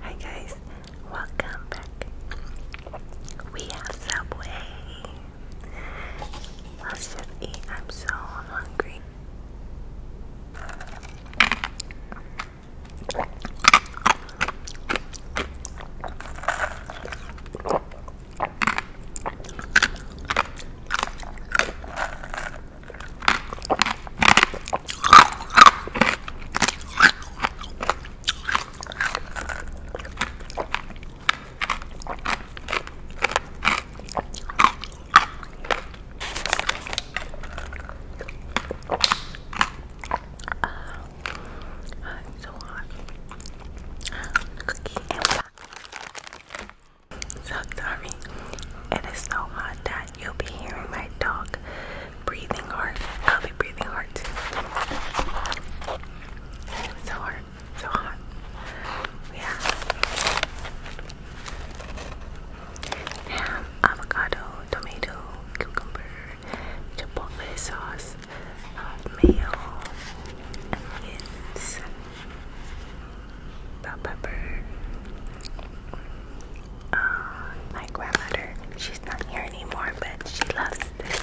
Hi guys, welcome back. We have Subway. let I'm so hungry. Uh, it's so hot. Cookie and black. So sorry. It is so hot that you'll be hearing my dog breathing hard. I'll be breathing hard too. So hard, so hot. Yeah. Ham, avocado, tomato, cucumber, chipotle sauce, uh, mayo, onions, bell pepper, uh, my grandmother. She's not here anymore, but she loves this.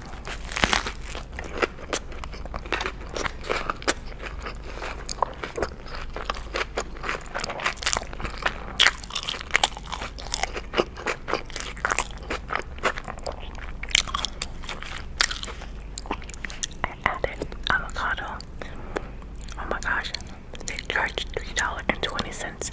I added avocado. Oh my gosh, they charged $3.20.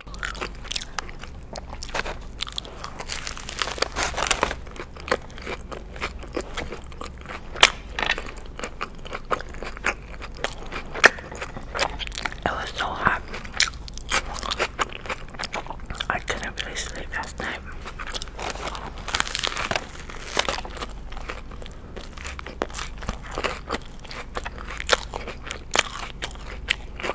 It was so hot. I couldn't really sleep last night.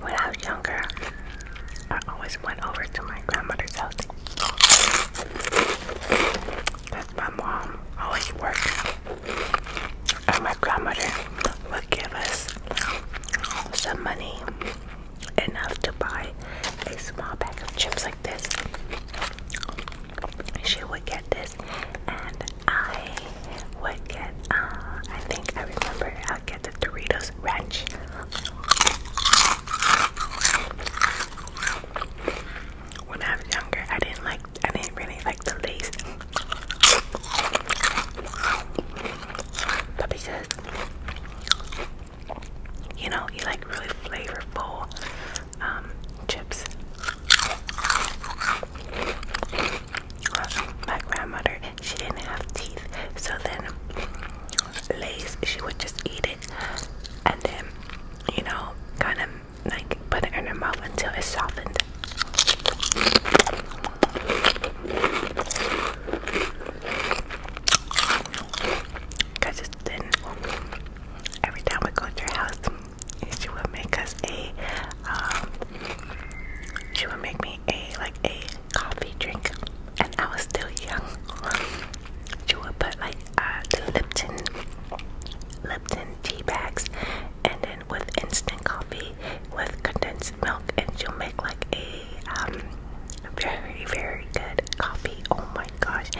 when I was younger, I always went over to my grandmother's house. Because my mom always worked. And my grandmother would give us some money enough to buy a small bag of chips like this. She would get this and I would get, uh, I think I remember I'll get the Doritos Ranch. When I was younger, I didn't like, I didn't really like the Lays. But because, you know, you like really flavorful um, chips my grandmother, she didn't have teeth. So then, Lay's, she would just eat it and then, you know, kind of like put it in her mouth until it softened. Because it's Every time we go to her house, she would make us a, um, she would make me me a like a coffee drink, and I was still young. She would put like uh, the Lipton, Lipton tea bags, and then with instant coffee with condensed milk, and she'll make like a um, very very good coffee. Oh my gosh!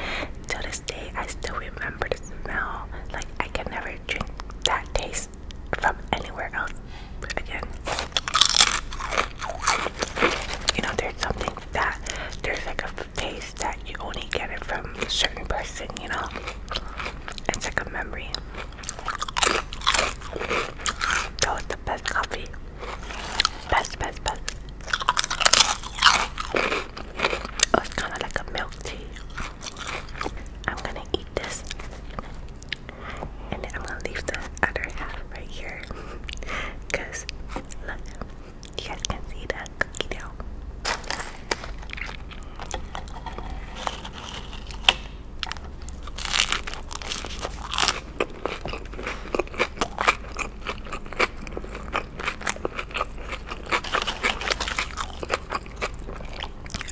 To this day, I still remember the smell. Like I can never drink that taste from anywhere else. Again, you know, there's something that there's like a taste that you only get it from a certain person, you know? It's like a memory. That was the best coffee. Best, best, best. Oh, it's kind of like a milk tea. I'm gonna eat this and then I'm gonna leave the other half right here because you guys can see the cookie dough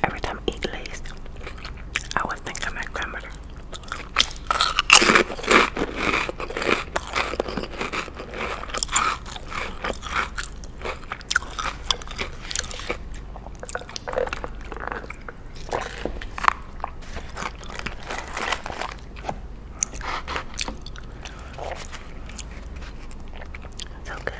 Every time I eat Lay's, I would think my grandmother. So good.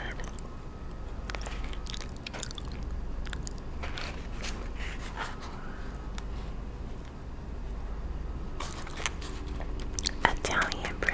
Italian bread.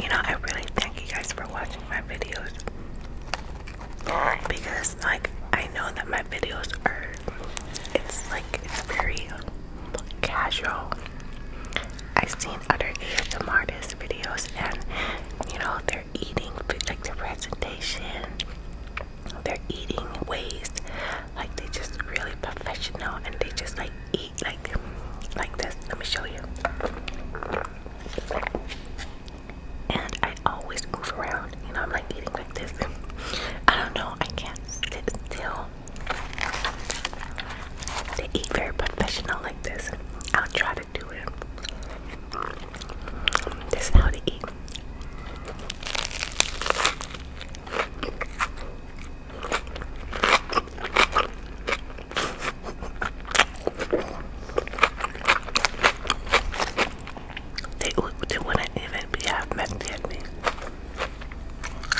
You know, I really thank you guys for watching my videos because, like, I know that my videos are, it's like, it's very casual. I've seen other ASM artist videos and you know they're eating like their presentation, they're eating ways like they just really professional and they just like eat like like this. Let me show you. And I always move around, you know, I'm like eating like this. I don't know, I can't sit still. They eat very professional like this. I'll try to do it. This is how they eat. They, wouldn't even be half messy at me.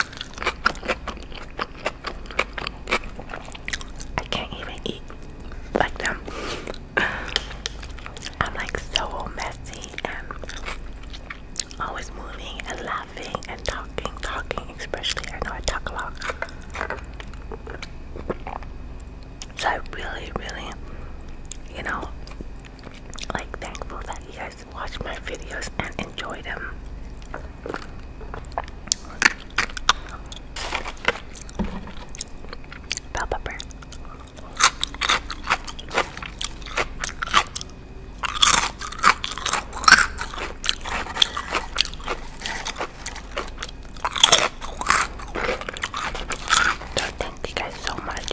I can't even eat like them. I'm like so messy and always moving and laughing and talking, talking, especially I know I talk a lot. So I really, really, you know, like thankful that you are watch my videos and enjoy them. Bell pepper. So thank you guys so much.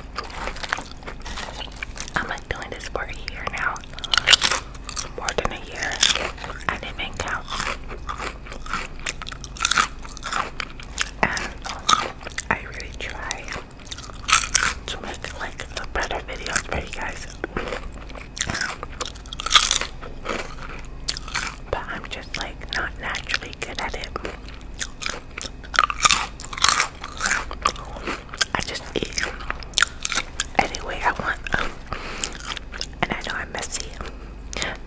I'm like doing this for a year now. More than a year. I didn't count. And I really try to make like a better for you guys. But I'm just like not naturally good at it. I just eat any way I want. Um, and I know I'm messy.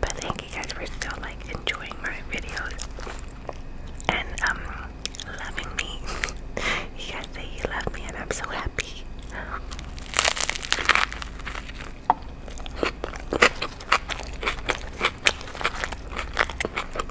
But thank you guys for still like enjoying my videos and um loving me. You guys say you love me and I'm so happy.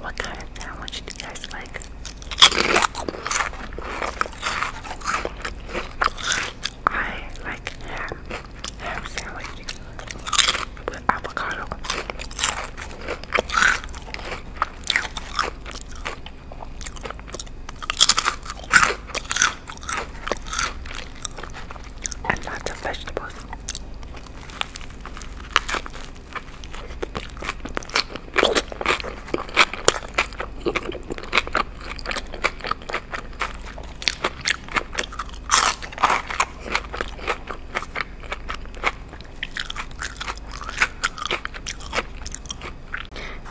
What kind of sandwich do you guys like? I like ham, ham sandwich with avocado. And lots of vegetables.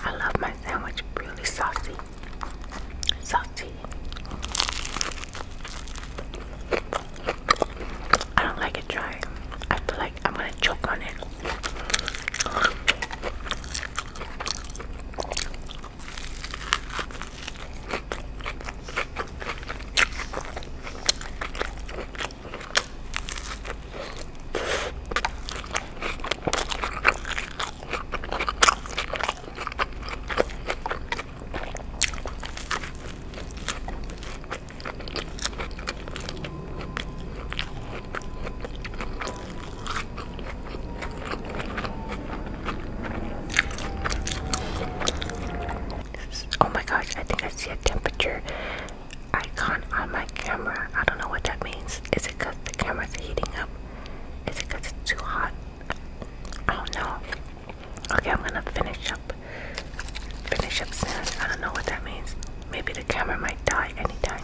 I love my sandwich really saucy. Saucy. I don't like it dry. I feel like I'm gonna choke on it. Oh my gosh, I think I see a temperature icon on my camera. I don't know what that means. Is it because the camera's heating up? Is it because it's too hot? I don't know. Okay, I'm gonna finish up. Finish up soon. I don't know what that means. Maybe the camera might die anytime.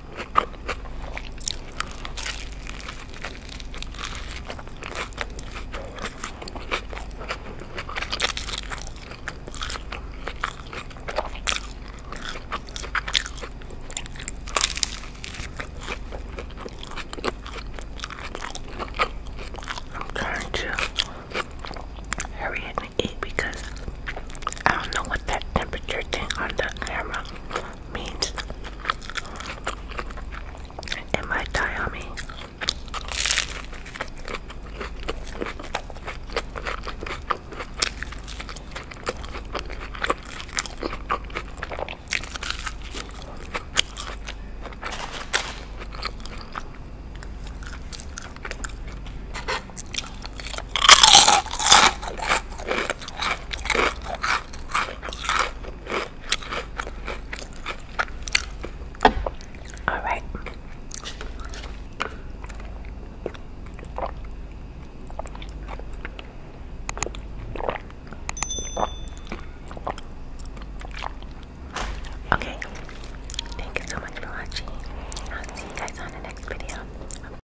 I'm trying to hurry and eat because I don't know what that temperature thing on the camera means it might die all right. Okay. Thank you so much for watching. I'll see you guys on the next video.